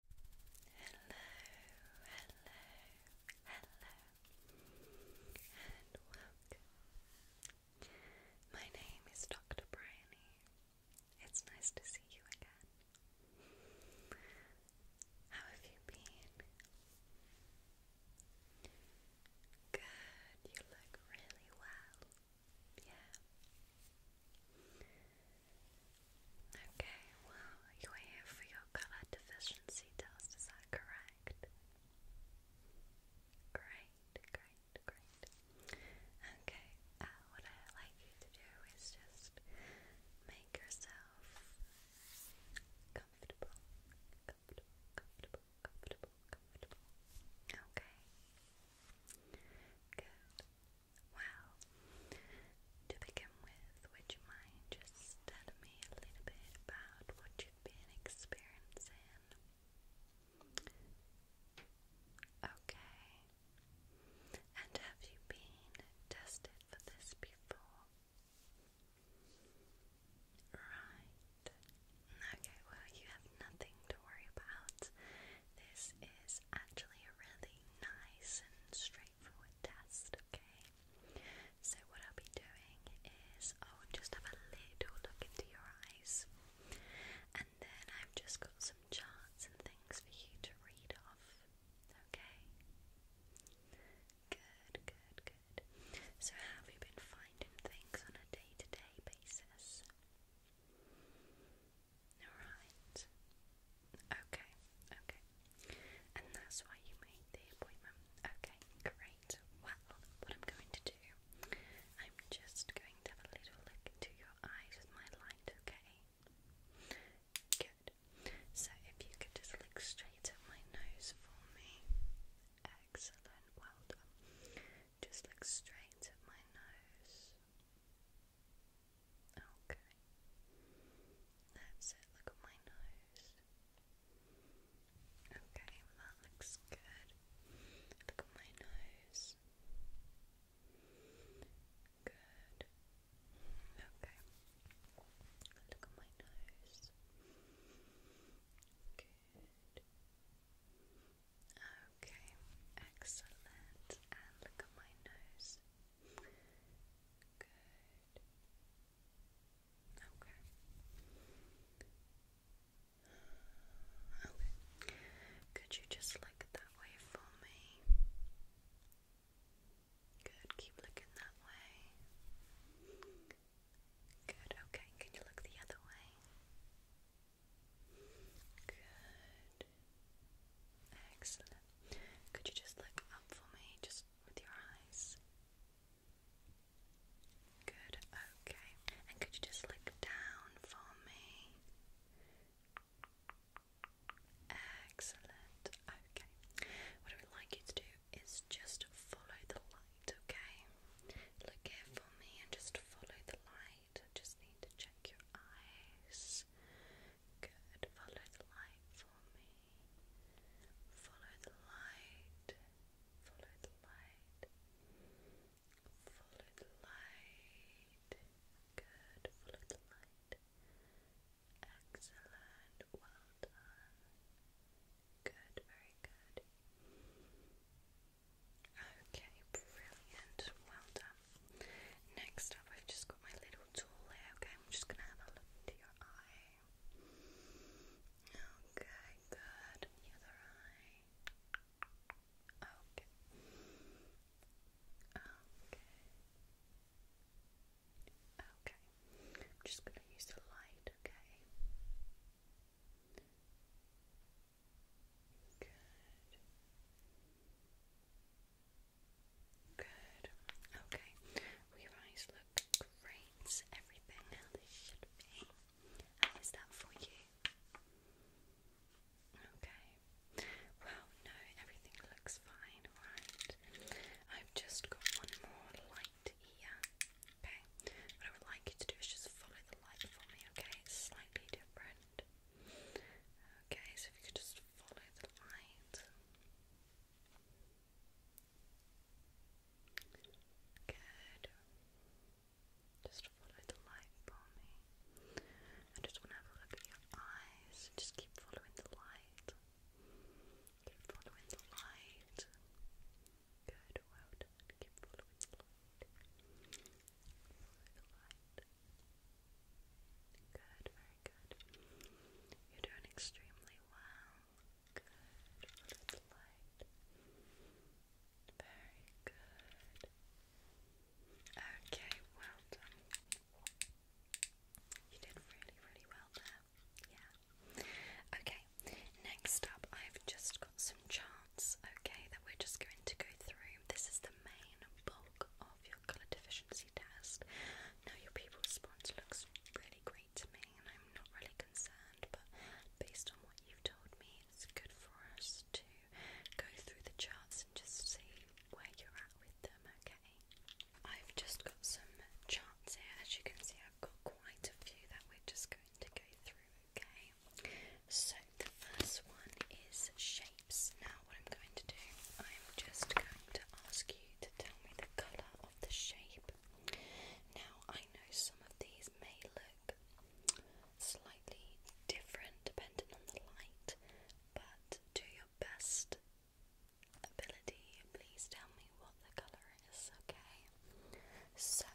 Hello, hello, hello, and welcome. My name is Dr. Bryony. It's nice to see you again. How have you been? Good, you look really well. Yeah. Okay, well, you're here for your colour deficiency test, is that correct? Great, great, great. Okay, uh, what i like you to do is just make yourself comfortable, comfortable, comfortable, comfortable, comfortable. Okay. Good. Well, to begin with, would you mind just telling me a little bit about what you've been experiencing? Okay. And have you been tested for this before? Right. Okay, well, you have nothing to worry about. This is actually a really nice and straightforward test, okay? So, what I'll be doing is I'll oh, just have a little look into your eyes, and then I've just got some charts and things for you to read off, okay? Good, good, good. So, have you been finding things on a day to day basis? Alright. Okay, okay. And that's why you made the appointment. Okay, great. Well, what I'm going to do, I'm just going to have a little look into your eyes with my light, okay? Good. So if you could just look straight at my nose for me. Excellent, well done. Just look straight at my nose. Okay. That's it, look at my nose. Okay, that looks good. Look at my nose. Good. Okay. Look at my nose. Good. Okay, excellent. And look at my nose. Good. Okay. Okay. Could you just look that way for me? Good. Keep looking that way. Good. Okay. Can you look the other way? Good. Excellent. Could you just look up for me, just with your eyes? Good, okay. And could you just look down for me? Excellent, okay. What I would like you to do is just follow the light, okay? Look here for me and just follow the light just need to check your eyes. Good. Follow the light for me. Follow the light. Follow the light. Follow the light. Good. Follow the light. Excellent. Well done. Good. Very good. Okay, brilliant. Well done. Next up, I've just got my little tool here. Okay, I'm just gonna have a look into your eye. Okay, good. The other eye. Okay. Okay. Okay. I'm just gonna use the light, okay? Good. Good. Okay. your eyes look great. Everything how they should be. How is that for you? Okay. Well, no, everything looks fine, right? I've just got one more light here. Okay. What I would like you to do is just follow the light for me, okay? slightly different. Okay, so if you could just follow the light. Good. Just follow the light for me. I just want to have a look at your eyes. Just keep following the light. Keep following the light. Good, well keep Good, very good. You're doing extremely well. Good. Very good. Okay, well done. You did really, really well there. Yeah. Okay, next up, I've just some charts, okay, that we're just going to go through. This is the main bulk of your colour deficiency test. Now, your pupil response looks really great to me, and I'm not really concerned, but based on what you've told me, it's good for us to go through the charts and just see where you're at with them, okay? I've just got some charts here. As you can see, I've got quite a few that we're just going to go through, okay? so the first one is shapes. Now, what I'm going to do, I'm just going to ask you to tell me the colour of the shape. Now, I know some of these may look slightly different depending on the light, but do your best ability. Please tell me what the colour is, okay? So,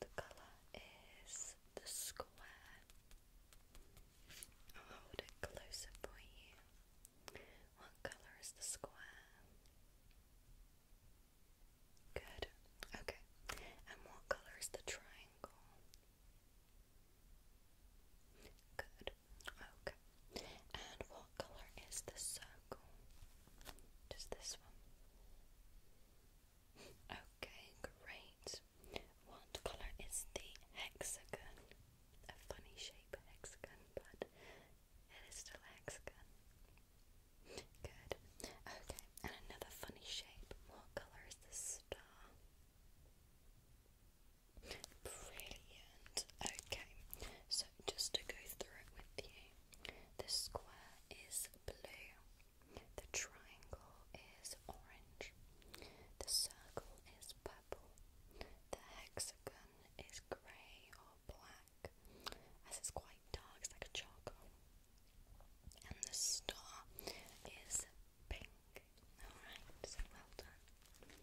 the colour is the square. I'll hold closer for you. What colour is the square? Good. Okay. And what colour is the triangle? Good. Okay. And what colour is the circle? Just this one. Okay, great. What colour is the hexagon? A funny shape hexagon, but it is still hexagon. Good. Okay, and another funny shape. What colour is the star? Brilliant. Okay, so just to go through it with you, the square is blue. The triangle is orange. The circle is purple. The hexagon is grey or black, as it's quite dark, it's like a charcoal. And the star is pink. Alright, so well done.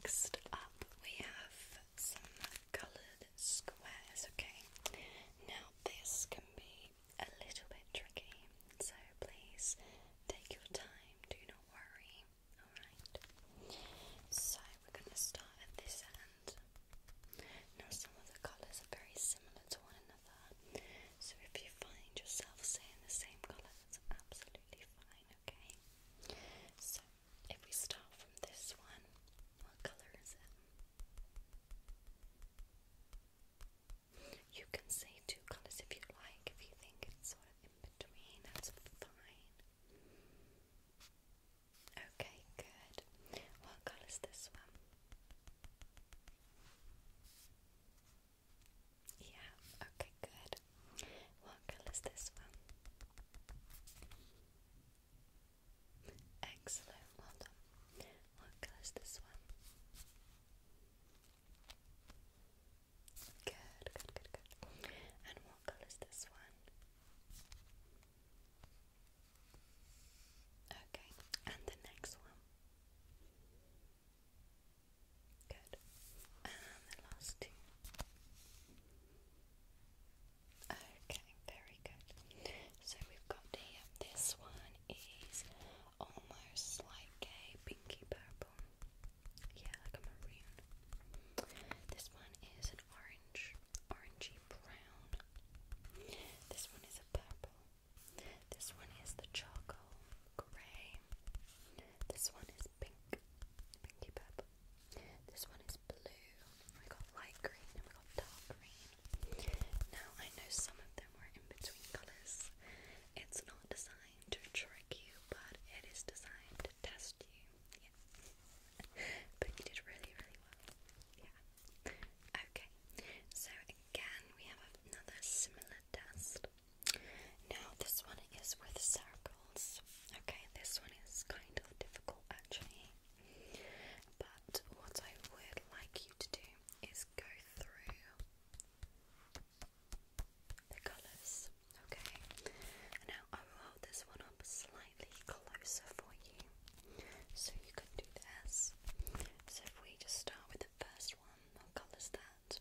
Next up, we have some coloured squares, okay? Now, this can be a little bit tricky, so please take your time, do not worry, alright? So, we're going to start at this end. Now, some of the colours are very similar to one another, so if you find yourself saying the same colour, that's absolutely fine, okay? So, if we start from this one, what colour is it? You can say two colours if you like, if you think it's sort of in between, that's fine. Okay, good. What colour is this one? Yeah, okay, good. What colour is this one? Excellent, well done. What colour is this one? Good, good, good, good. And what colour is this one? Okay, and the next one. Good. And the last two. Okay, very good. So we've got here, this one is almost like a pinky purple. Yeah, like a maroon. This one is an orange, orangey brown. This one is a purple. This one is the charcoal grey. This one is pink, pinky purple. This one is blue. We got light green and we got dark green. Now I know some of them are in between colours. It's not designed to trick you, but it is designed to test you. but you did really, really well. Yeah. Okay. So again we have another similar test. Now this one is with circles. Okay, this one is kind of difficult actually. But what I would like you to do is go through the colours, okay? Now I will hold this one up slightly closer for you so you can do this. So if we just start with the first one, what colour is that?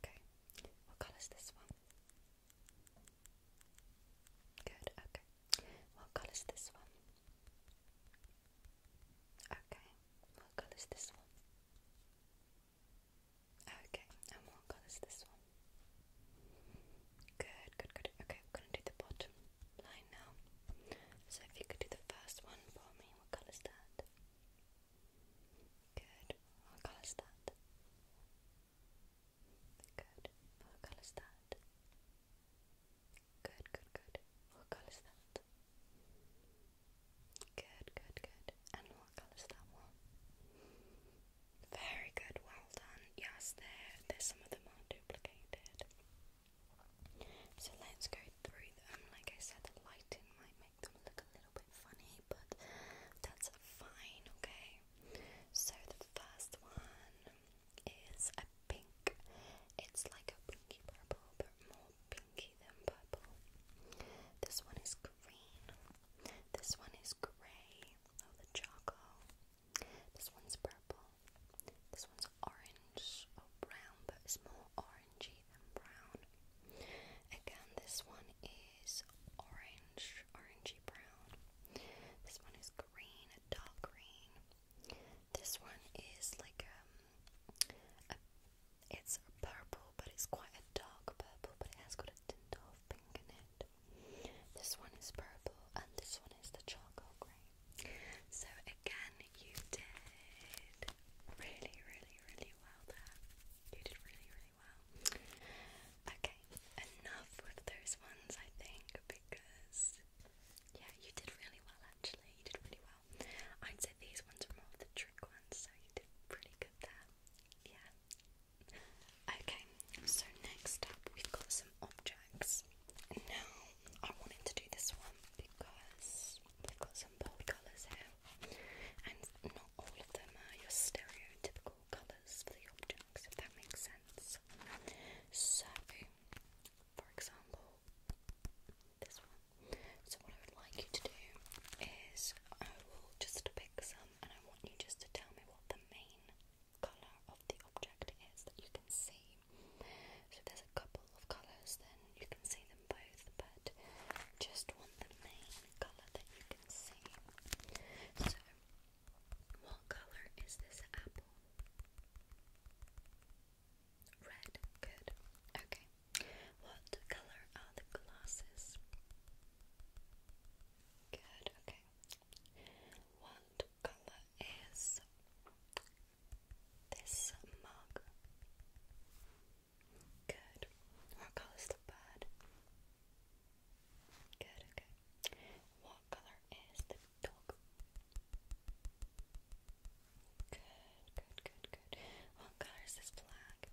Okay, what colour is this one? Good, okay. What colour is this one? Okay, what colour is this one? Okay, and what colour is this one? Good, good, good. Okay, I'm gonna do the bottom line now. So if you could do the first one for me, what colour is that? Good. What colour is that? Good. What colour is that? Good, good, good. What colour is that? Good, good, good. And what colour is that one? Very good, well done. Yes, there, there's some of them are duplicated. So let's go through them. Like I said, the lighting might make look a little bit funny, but that's fine, okay? So the first one is a pink. It's like a pinky purple, but more pinky than purple. This one is green. This one is grey. Oh, the charcoal. This one's purple. This one's orange or oh, brown, but it's more orange orangey than brown. Again, this one is orange, orangey brown. This one is green, dark green. This one is like um, it's purple, but it's quite a dark purple, but it has got a tint of pink in it. This one is purple, and this one is the charcoal grey. So again, you did did really, really, really well there. You did really, really well. Okay, enough with those ones, I think, because yeah, you did really well actually. You did really well. I'd say these ones are more of the trick ones, so you did pretty good there. Yeah. Okay, so next up we've got some objects. Now I wanted to do this one because we've got some bold colours here and not all of them are your stereotypical colours for the objects, if that makes sense. So, for example, this one. So, what I would like you to do is I will just pick some and I want you just to tell me what the main colour of the object is that you can see. So, there's a couple of colours, then you can see them both, but just want the main colour that you can see. So, what colour is this apple? Red, good. Okay. What colour are the glasses? Good, okay. What colour is this mug? Good. What color is the bird? Good, okay. What color is the dog? Good, good, good, good. What color is this flag?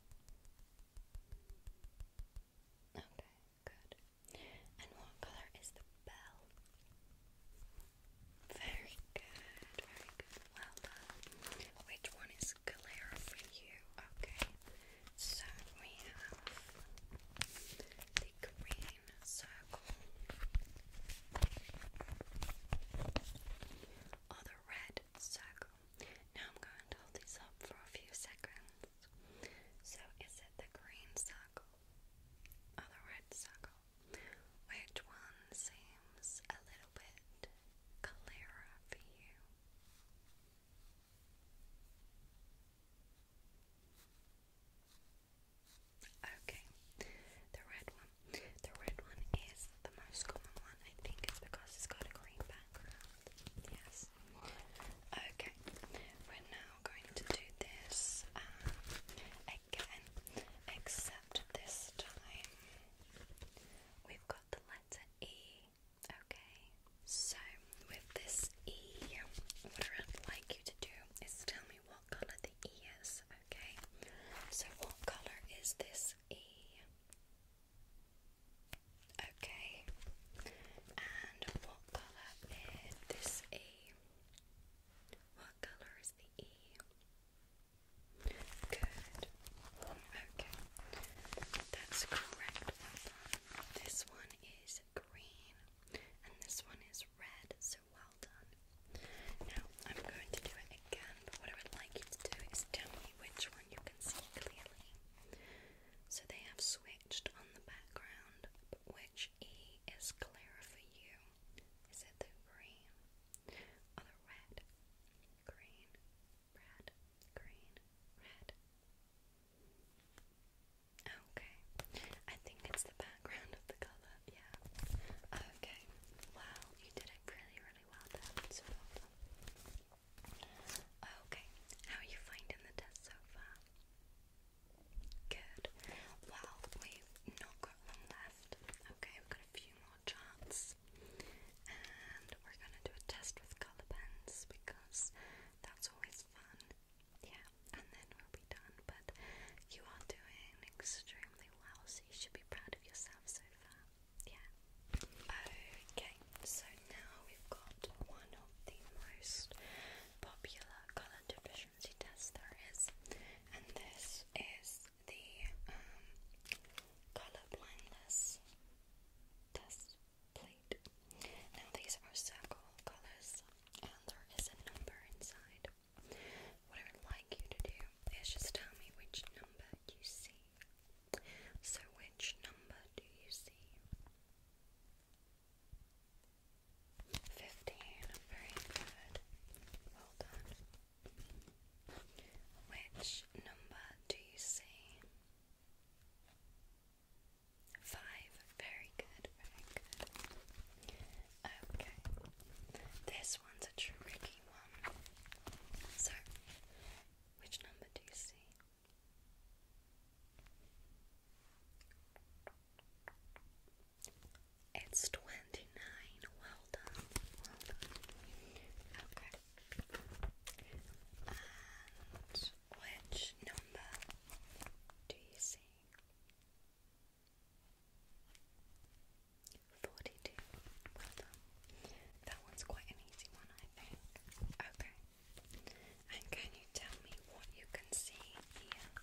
Okay, good. And what color is the bell? Very good, very well done. Which one is clearer for you? Okay. So we have the green circle or the red circle. Now I'm going to hold this up for a few seconds. So is it the green circle or the red circle? Which one seems a little bit clearer for you. Okay, the red one. The red one is the most common one. I think it's because it's got a green background. Yes. Okay, we're now going to do this um, again, except this time We've got the letter E. Okay, so with this E, what I'd like you to do is tell me what colour the E is. Okay, so what colour is this E? Okay, and what colour is this E? What colour is the E? Good. Okay. That's correct. Well done. This one is green and this one is red, so well done. Now I'm going to do it again, but what I would like you to do is tell me which one you can see clearly. So they have switched on the background, but which E is clearer for you? Is it the green? Other red, green, red, green, red. Okay, I think it's the background of the color, yeah. Okay, wow, you did it really, really well there, Okay, how are you finding the test so far? Good. Well, we not got long left. Okay, we got a few more more And we're gonna do a test with colour pens because that's always fun. Yeah, and then we'll be done. But you are doing extremely well, so you should be proud of yourself so far. Yeah. Okay, so now we've got one of the most popular colour deficiency tests there is, and this is is the um, color blindness test plate. Now these are circle colors, and there is a number inside. What I would like you to do is just tell me which number you see. So, which number do you see? 15. Very good. Well done. Which number do you see? Five. Very good, very good. Okay. This one's a tricky one. So, which number do you see? It's 29. Well done. Well done. Okay. And which number do you see? 42. Well done. That one's quite an easy one, I think. Okay. And can you tell me what you can see here?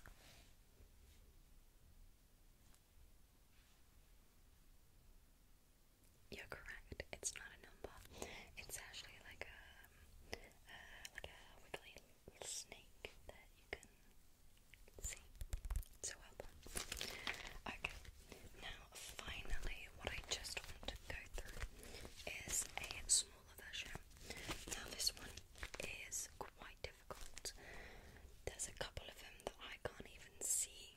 You're correct. It's not a number. It's actually like a uh, like a wiggly snake that you can see. So well Okay. Now, finally, what I just want to go through is a smaller version. Now, this one is quite difficult. There's a couple of them that I can't even see.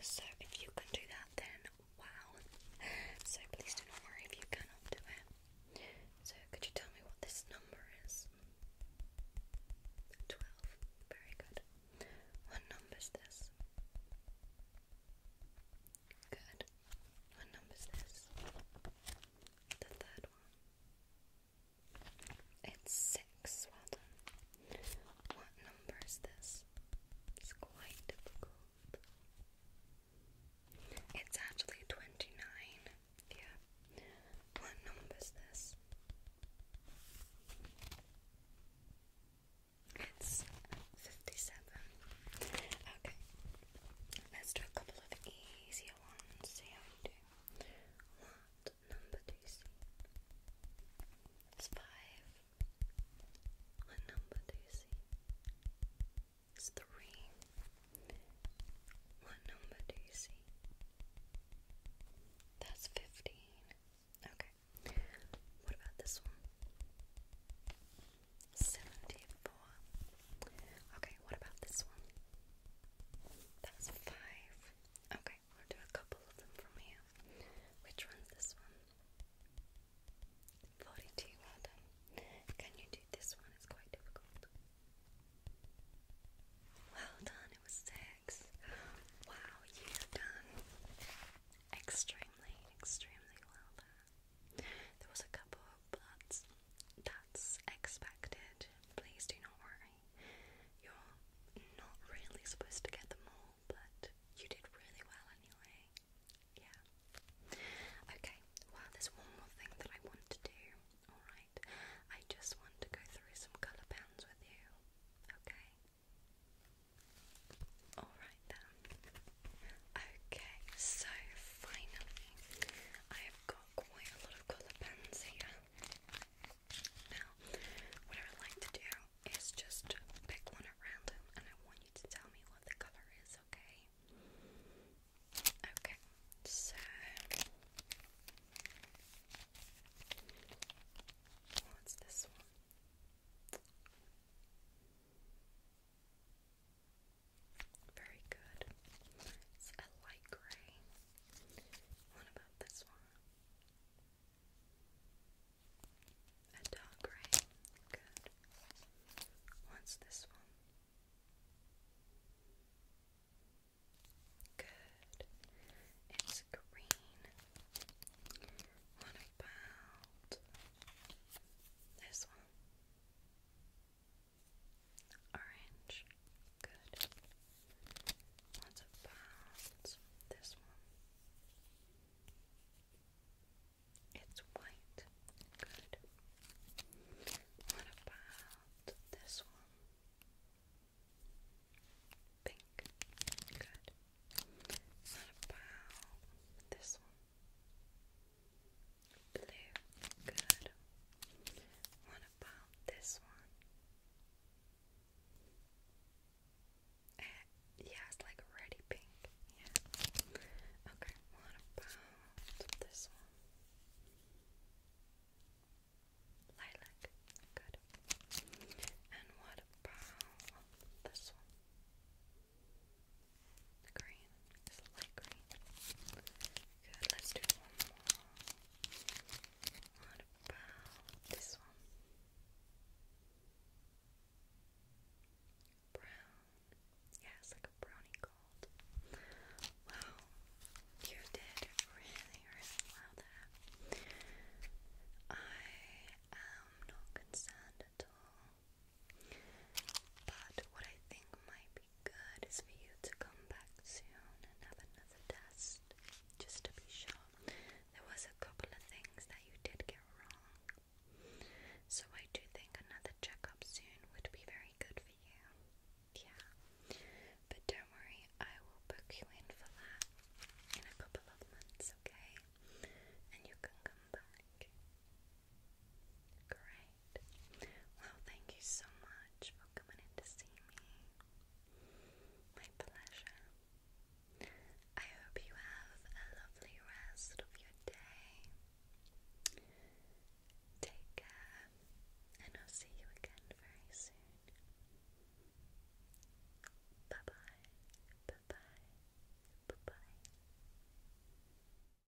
So if you can do that, then wow. So please do not worry if you cannot do it. So could you tell me what this number is? Twelve. Very good. What number is this? Good. What number is this? The third one. It's six. Well done. What number is this? It's quite difficult. It's actually 29. Yeah. What number is this? It's 57. Okay. Let's do a couple of easier ones. See how we do. One, what number do you see? It's five. What number do you see? It's three. What number do you see? That's fifteen. Okay. What about this one? Seventy-four. Okay, what about this one? That was five. Okay, we'll do a couple of them from here. Which one's this one? 42, well done. Can you do this one? It's quite difficult. Well done, it was six. Wow, you've done extremely, extremely well there. There was a couple of bloods that's expected. Please do not worry. You're not really supposed to get them all, but you did really well anyway. Yeah. Okay, well, there's one more thing that I want to do, alright? I just want to go through some colour pens with you, okay? Alright then. Okay, so finally, I have got quite a lot of colour pens here. Now, what I would like to do is just pick one at random and I want you to tell me what the colour is, okay? Okay, so what's this one? Very good. It's a light gray. What about this one? A dark gray. Good. What's this one? Good. It's green. What about this one? Orange. Good. Lots of This one. It's white. Good. What about this one? Pink. Good. What about this one? Blue. Good. What about this one? yeah, it's like reddy pink. Yeah. Okay, what about this one? Lilac. Good. And what about this one? Green. It's a Good, let's do one more. What about this one? Brown. Yeah, it's like a brownie gold. Wow, you did really, really well there. I am not concerned at all. But what I think might be good is for you to come back soon and have another test just to be sure. There was a couple of things that you did get wrong. So I do think another checkup soon would be very good for you. Yeah. But don't worry, I will book you in for that in a couple of months, okay? And you can come back. Great. Well, thank you so much for coming in to see me. My pleasure. I hope you have a lovely rest of your day. Take care, and I'll see you again very soon. Bye bye, bye bye, bye bye.